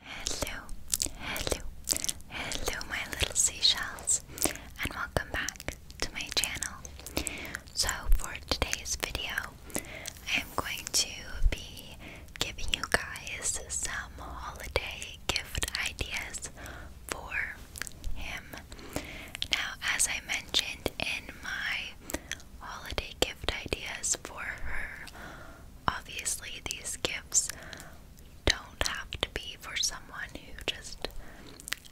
Hello, hello, hello, my little seashells, and welcome back to my channel. So, for today's video, I am going to be giving you guys some holiday gift ideas for him. Now, as I mentioned in my holiday gift ideas for her obviously, these gifts don't have to be for someone who just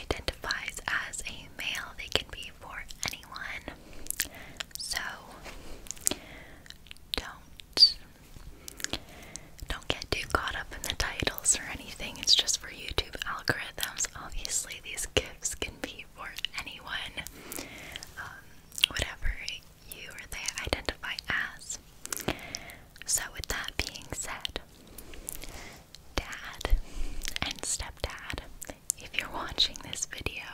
identifies as a male, they can be for anyone. So, don't don't get too caught up in the titles or anything. It's just for YouTube algorithms. Obviously, these gifts can be for anyone. Um, whatever you or they identify as. So, with that being said, Dad and stepdad, if you're watching this video,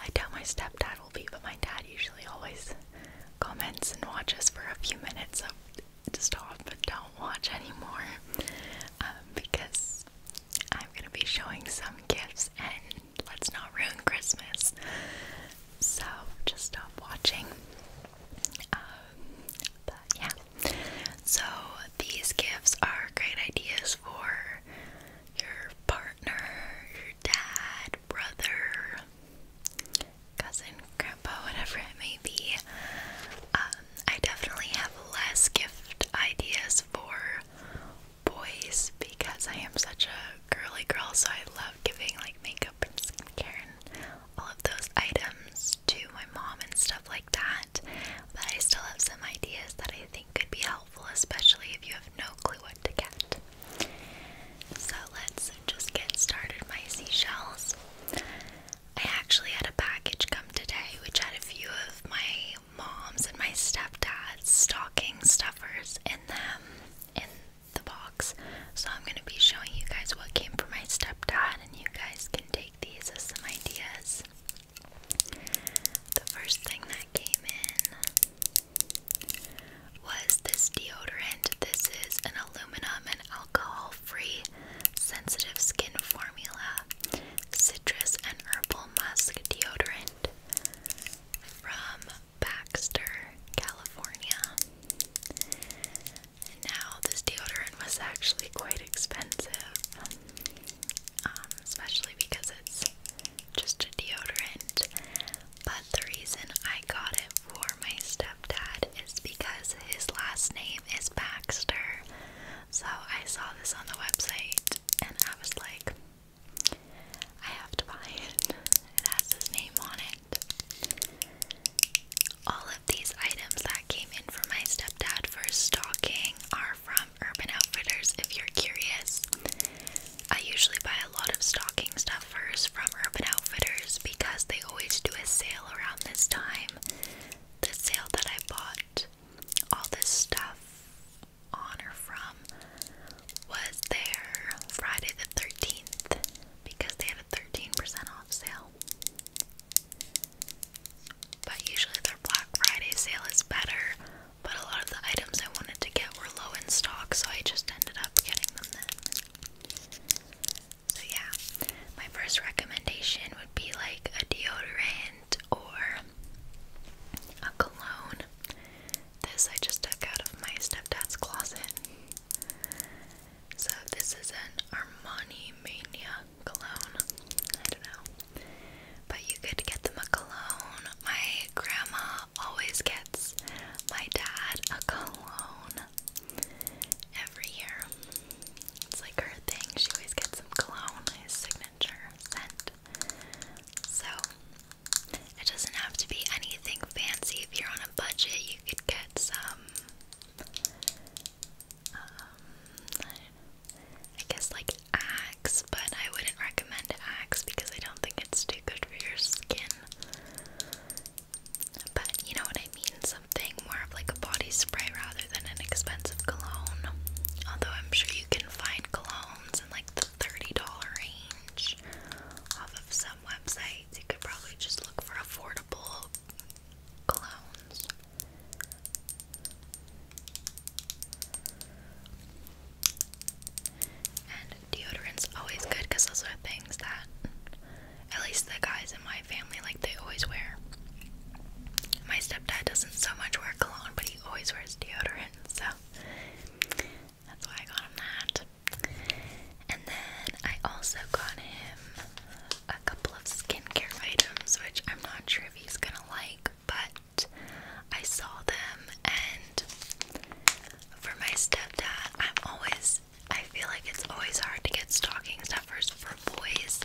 I doubt my stepdad will be, but my dad usually always comments and watches for a few minutes of to stop, but don't watch anymore um, because I'm gonna be showing some gifts and let's not ruin Christmas. So just stop watching. Um, but yeah. So these gifts are great ideas for your partner, your dad, brother, cousin, grandpa, whatever it may be. Um, I definitely have less gift ideas for boys because I am such a girly girl, so I love giving like makeup and skincare and all of those items to my mom and stuff like that. But I still have some ideas that I think could be helpful, especially if you have no clue what to get. So let's just get started. My seashells. I actually had a package come today which had a few of my mom's and my stepdad's stocking stuffers in them in the box. So I'm going to be showing you guys what came from my stepdad, and you guys can take these as some ideas. The first thing that came in was this deodorant. This is an aluminum and alcohol free sensitive skin formula citrus and herbal musk deodorant from Baxter, California. And now, this deodorant was actually quite expensive, um, especially because it's just a deodorant. But the reason I got it for my stepdad is because his last name is Baxter. So I saw this on the website and I was like, I have to buy it. It has his name on it. All of these items that came in for my stepdad for stocking are from Urban Outfitters if you're curious. I usually buy a lot of stocking stuffers from Urban Outfitters because they always do a sale around this time. The sale that I bought all this stuff on or from was their Friday the 13th because they had a 13% off sale. But usually their Black Friday sale is better, but a lot of the items I wanted to get were low in stock, so I just ended up getting them then. So, yeah, my first recommendation would be like a deodorant or a cologne. This I just took out of my stepdad's closet. So this is an Armani Mania cologne. I don't know. But you could get them a cologne. My grandma always gets my dad a cologne every year. It's like her thing. She always gets some cologne, his signature scent. So it doesn't have to be anything fancy. If you're on a budget, you could get some. Um, I guess like Axe, but I wouldn't recommend Axe because I don't think it's too good for your skin. But you know what I mean? Something more of like a body spray rather than an expensive cologne. Although I'm sure you can find colognes in like the $30 range ish off of some websites. You could probably just look for affordable colognes. And deodorant's always good because those are things that at least the guys in my family like they always wear. My stepdad doesn't so much wear cologne, but he always wears deodorant, so that's why I got him that. And then I also got him a couple of skincare items, which I'm not sure if he's gonna like, but I saw them. And for my stepdad, I'm always, I feel like it's always hard to get stocking stuffers for boys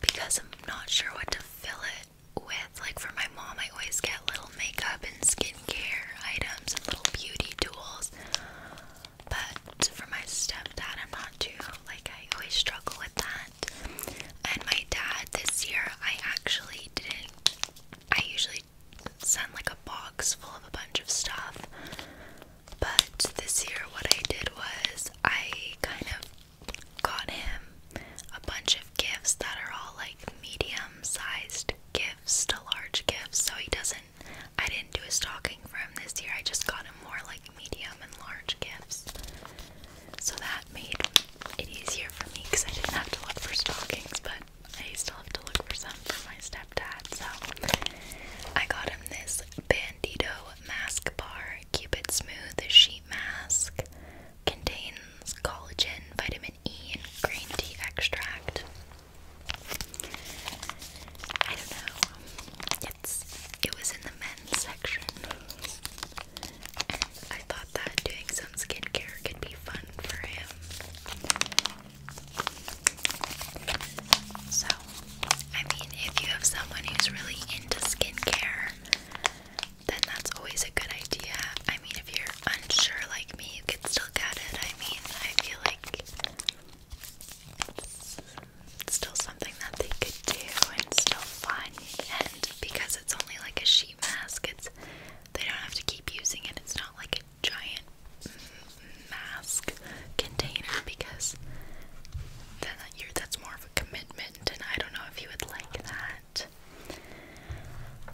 because I'm not sure what to fill it with, like for my mom, I always get little makeup and skincare items and little beauty tools. But for my stepdad, I'm not too, like, I always struggle with that. And my dad, this year, I actually didn't, I usually send like a box full of a bunch of stuff. But this year, what I did was I kind of got him a bunch of of gifts that are all like medium sized gifts to large gifts. So he doesn't, I didn't do a stocking for him this year. I just got him more like medium and large gifts. So that made it easier for me because I didn't have to look for stockings, but I still have to look for some for my stepdad. So I got him this Bandito mask bar. Keep it smooth sheet mask. Contains collagen, vitamin E, and green tea extract. I don't know. It's it was in the men's section. And I thought that doing some skincare could be fun for him. So, I mean, if you have someone who's really into skincare, then that's always a good idea. I mean, if you're unsure like me, you could still get it. I mean, I feel like it's still something that they could do and still fun. And because it's only like a sheet mask, it's they don't have to keep using it. It's not like a giant mask container because then that you're, that's more of a commitment. And I don't know if you would like that that.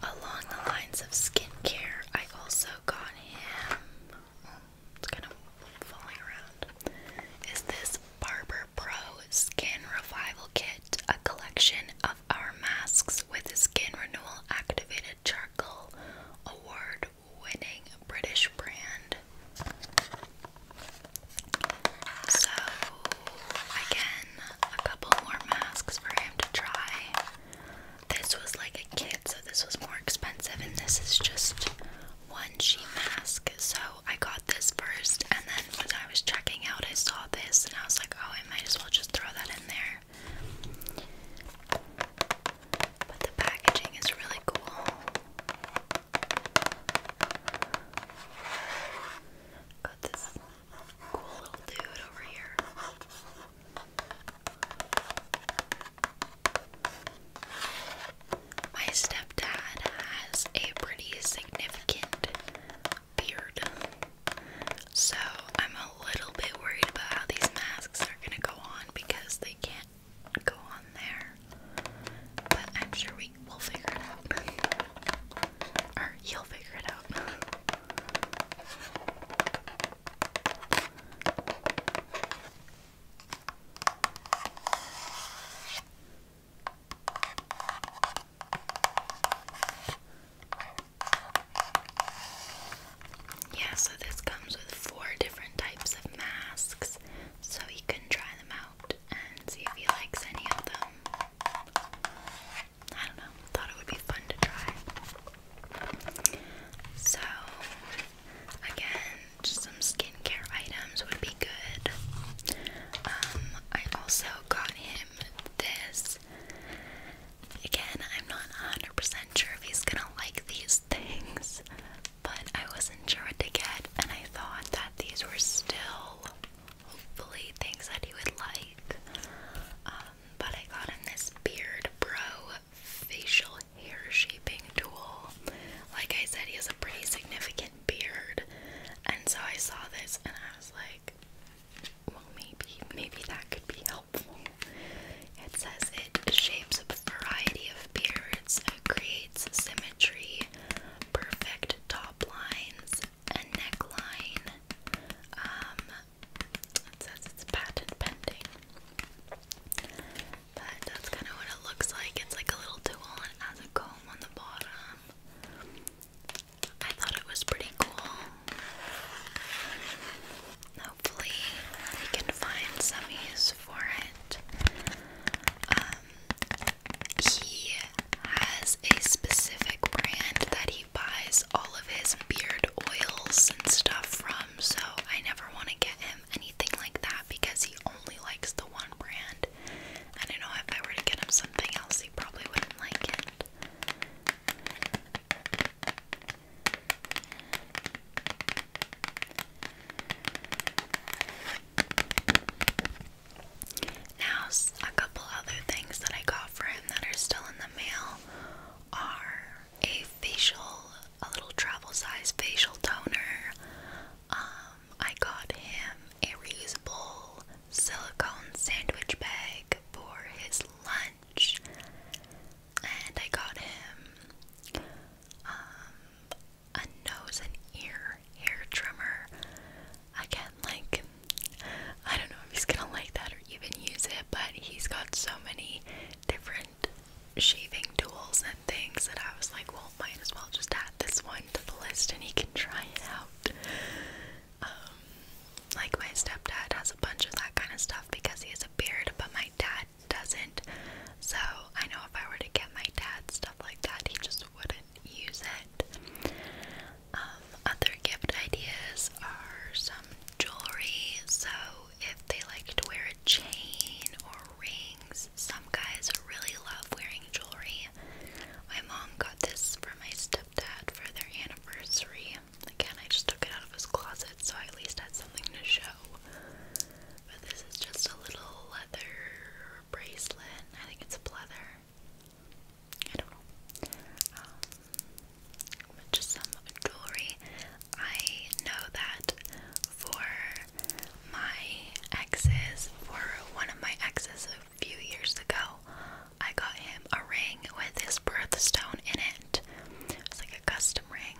Along the lines of skincare, I also got him. Oh, it's kind of falling around. Is this Barber Pro Skin Revival Kit? A collection of our masks with skin renewal activated charcoal, award winning British brand. So again, a couple more masks for him to try. This was like a kit, so this was more expensive, and this is just one sheet mask. So I got this first, and then when I was checking out, I saw this, and I was like, oh, I might as well just throw that in there. But the packaging is really cool. Got this cool little dude over here. My stepdad has a pretty significant beard, so I'm a little bit worried about how these masks are gonna go on because they can't go on there. But I'm sure we will figure it out. you'll figure it out. Yeah, so this comes with four different types of masks, so you can try them out and see if he likes any of them. I don't know, thought it would be fun to try. So, again, some skincare items would be good. Um, I also got him this. Again, I'm not 100% sure if he's gonna like these things, but I wasn't sure what to get, and I thought that these were still hopefully things that you would like. Um, but I got him this Beard Bro facial hair shaping tool. Like I said, he has a pretty significant beard, and so I saw this and I was like, well, maybe, maybe that could be helpful. It says it shapes a variety of beards, creates symmetry, perfect top lines, a neckline. Um, it says it's patent pending. But that's kind of what it looks like. It's like a little tool and has a comb on the bottom. I thought it was pretty cool. Hopefully, we can find some use for it. Um, he has a specific brand that he he buys all of his beard oils and stuff from, so I never want to get him anything like that because he only likes the one brand. I don't know if I were to get him something else, he probably wouldn't like it. Now, a couple other things that I got for him that are still in the mail are a facial, a little travel size facial toner. Um, I got him a reusable silicone sandwich bag for his lunch, and I got him um, a nose and ear hair trimmer. Again, like, I don't know if he's gonna like that or even use it, but he's got so many different shaving tools and things that I was like, well, might as well just add this one to the list and he can try it out. Um, like, my stepdad has a bunch of that kind of stuff because he has a beard, but my dad doesn't. So, I know if I were to get my dad stuff like that, he just wouldn't use it. Um, other gift ideas are some jewelry. So if they like to wear a chain or rings, some guys really love wearing jewelry. My mom got this for my stepdad for their anniversary. Again, I just took it out of his closet, so I at least had something to show. But this is just a little leather bracelet. I think it's a leather. I um, just some jewelry. I know that for my exes, for one of my exes a few years ago, I got him a ring with his birthstone in it. It's like a custom ring.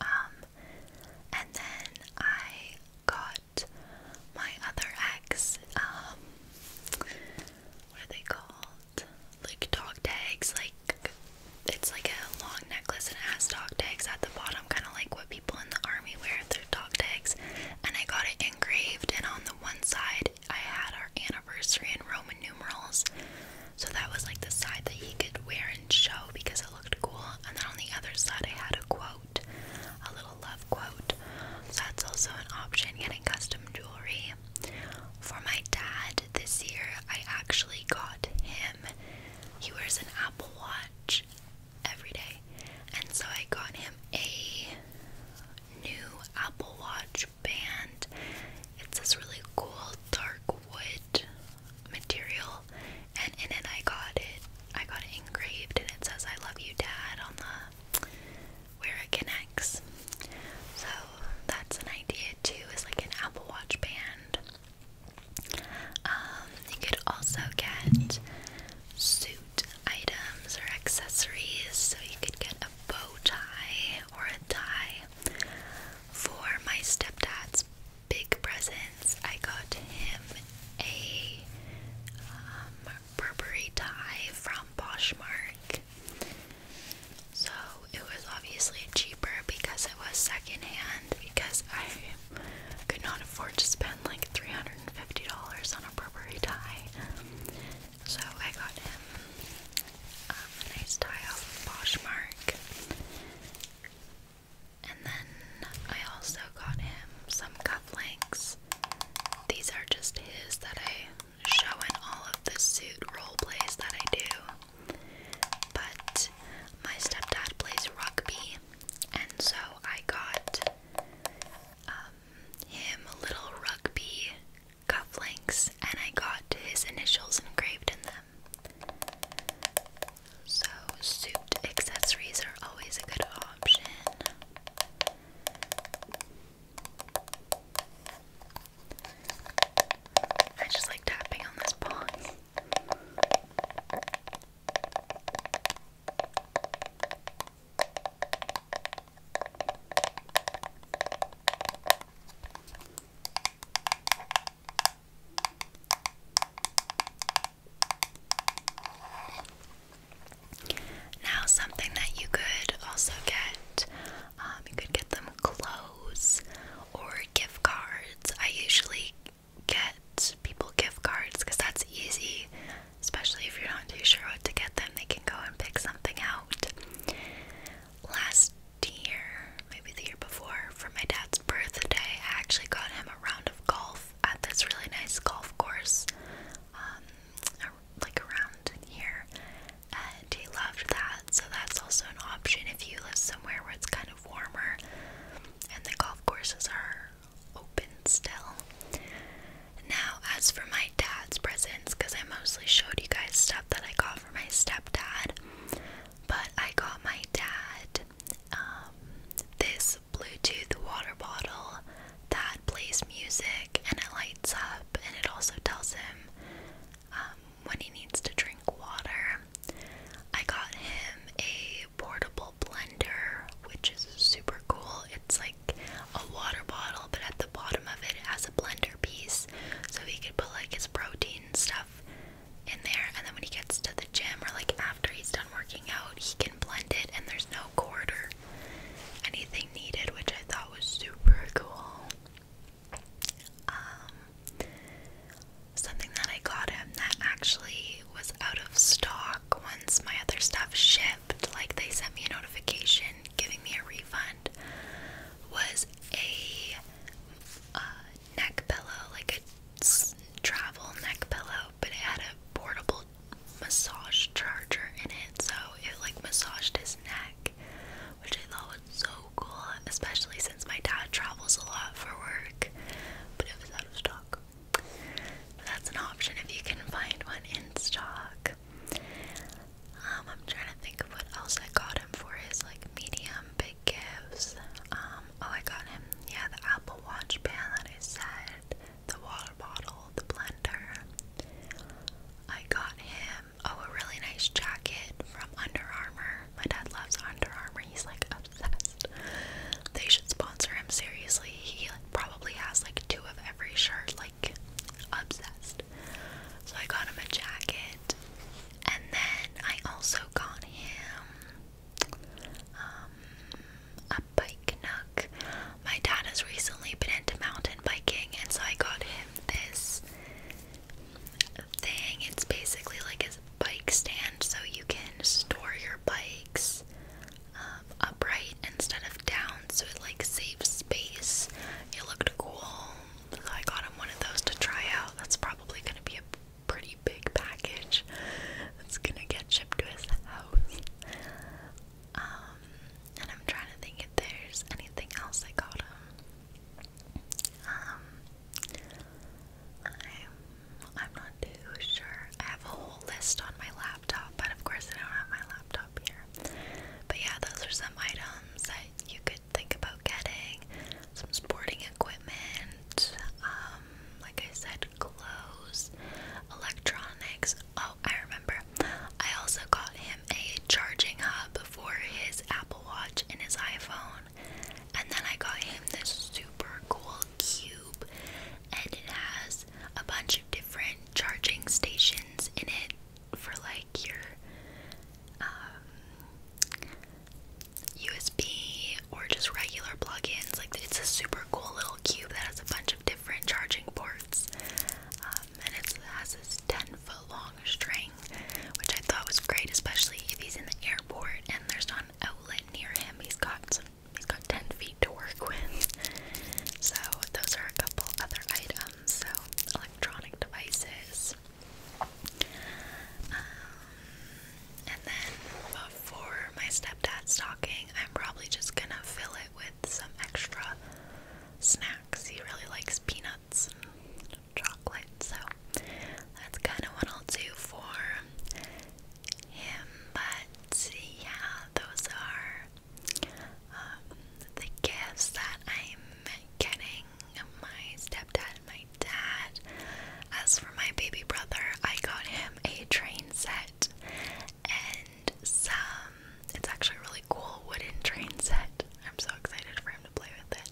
Um, and then I got my other ex, um, what are they called? Like dog tags. Like it's like a long necklace and it has dog tags at the bottom, kind of like what people in the army wear their dog tags. And I got it engraved, and on the one side I had our anniversary in Roman numerals, so that was like the side that he could wear and show because it looked cool. And then on the other side I had a quote, a little love quote. So that's also an option getting custom jewelry. For my dad this year, I actually got him. He wears an Apple Watch every day. And so I got him a new Apple Watch band. It's this really cool dark wood material and in it I got it I got it engraved and it says I love you dad on the where it connects. So that's an idea too, is like an Apple Watch band. Um, you could also get suit items or accessories, so you could get a bow tie or a tie. For my stepdad's big presents, I got him a um, Burberry tie from Poshmark. So it was obviously cheaper because it was secondhand because I could not afford to spend like $350 on a Burberry tie. So I got him um, a nice tie off of And then I also got him some cufflinks. These are just his that I Showing all of the suit role plays that I do. But my stepdad plays rugby, and so I got um, him little rugby cufflinks, and I got his initials engraved in them. So, suit accessories are always a good option. I just like tapping on this box. Now, something that you could also get, um, you could get them clothes or gift cards. I usually get people gift cards because that's easy, especially if you're not too sure what to get them, they can go and pick something out. Last year, maybe the year before, for my dad's birthday, I actually got him a round of golf at this really nice golf course um, like around here, and he loved that. So that's also an option if you live somewhere where it's kind of warmer and the golf courses are open still. Now, as for my dad's presents, because I mostly showed you guys stuff that I got for my stepdad, but I got my dad um, this Bluetooth water bottle that plays music and it lights up, and it also tells him um, when he needs to drink water. I got him a portable blender, which is super cool. It's like a water bottle, but at the bottom of it, it has a blender piece, so he could put like his protein stuff in there. And then when he gets to the gym or like after he's done working out, he can blend it, and there's no quarter anything needed, which I thought was super cool. Um, something that I got him that actually was out of stock once my other stuff shipped, like they sent me a notification giving me a refund, was a uh, neck pillow, like a travel neck pillow, but it had a portable massage charger in it, so it like massaged his neck, which I thought was so cool, especially since my dad travels a lot for work, but it was out of stock. that's an option if you can find one in stock. Um, I'm trying to think of what else I got him for his like medium big gifts. Um, oh, I got him, yeah, the Apple Watch band that I said the water bottle, the blender. I got him oh a really nice jacket from Under Armour. My dad loves Under Armour. He's like obsessed. They should sponsor him seriously. He probably has like two of every shirt. Like obsessed. So I got him a jacket, and then I also got him um, bike nook. My dad has recently been into mountain biking, and so I got him this thing. It's basically like a bike stand, so you can store your bikes um, upright instead of down, so it like saves space. It looked cool, so I got him one of those to try out. That's probably gonna be a pretty big package It's gonna get shipped to his house. Um, and I'm trying to think if there's anything else I got Um, I'm, I'm not too sure. I have a whole list on my laptop, but of course I don't have my laptop here. But yeah, those are some items that you could think about getting. Some sporting equipment, um, like I said, clothes, electronics, Oh, I remember. I also got him a charging hub for his Apple Watch and his iPhone. And then I got him this super cool cube, and it has a bunch of different charging stations in it for like your um, USB or just regular plugins. Like, it's a super cool little cube that has a bunch of different charging ports. Um, and it has this 10 foot long string, which I thought was great, especially if he's in the airport and there's not an outlet near him. He's got he's got 10 feet to work with. So those are a couple other items. So electronic devices. Um, and then for my stepdad's stocking, I'm probably just gonna fill it with some extra snacks. He really likes peanuts and chocolate, so that's kind of what I'll do for him. But yeah, those are um, the gifts that I'm getting my stepdad and my dad. As for my baby brother, I got him a train set and some it's actually really cool wooden train set. I'm so excited for him to play with it.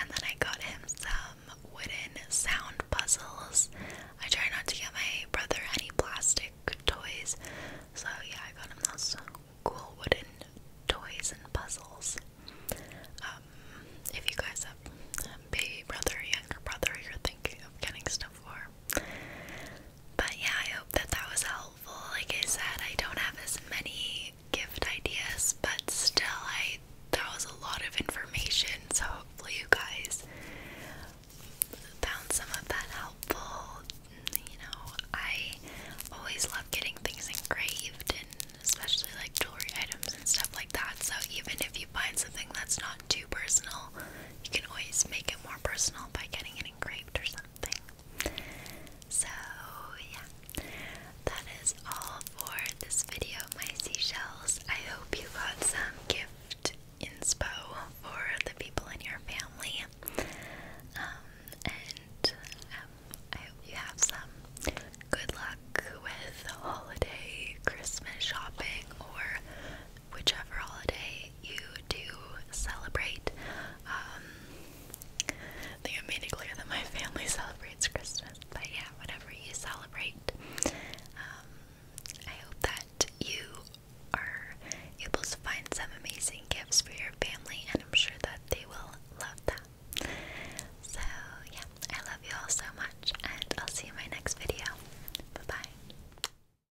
And then I got him some wooden sound puzzles. I try not to get my brother any plastic toys. So yeah, I got him those cool wooden toys and puzzles. Um, if you guys have a baby brother, younger brother, you're thinking of getting stuff for. But yeah, I hope that that was helpful. Like I said, I don't have as many gift ideas, but still, I that was a lot of information. So hopefully, you guys found some of that helpful. You know, I always love getting things engraved and especially like jewelry items and stuff like that. So even if you find something that's not too personal, you can always make it more personal by getting it engraved or something. So, yeah, that is all for this video, my seashells. I hope you got some gift inspo for the people in your family. Um, and um, I hope you have some good luck with holiday Christmas shopping or whichever holiday you to celebrate. I think I made it clear that my family celebrates Christmas, but yeah, whatever you celebrate. Um, I hope that you are able to find some amazing gifts for your family, and I'm sure that they will love that. So, yeah, I love you all so much, and I'll see you in my next video. Bye bye.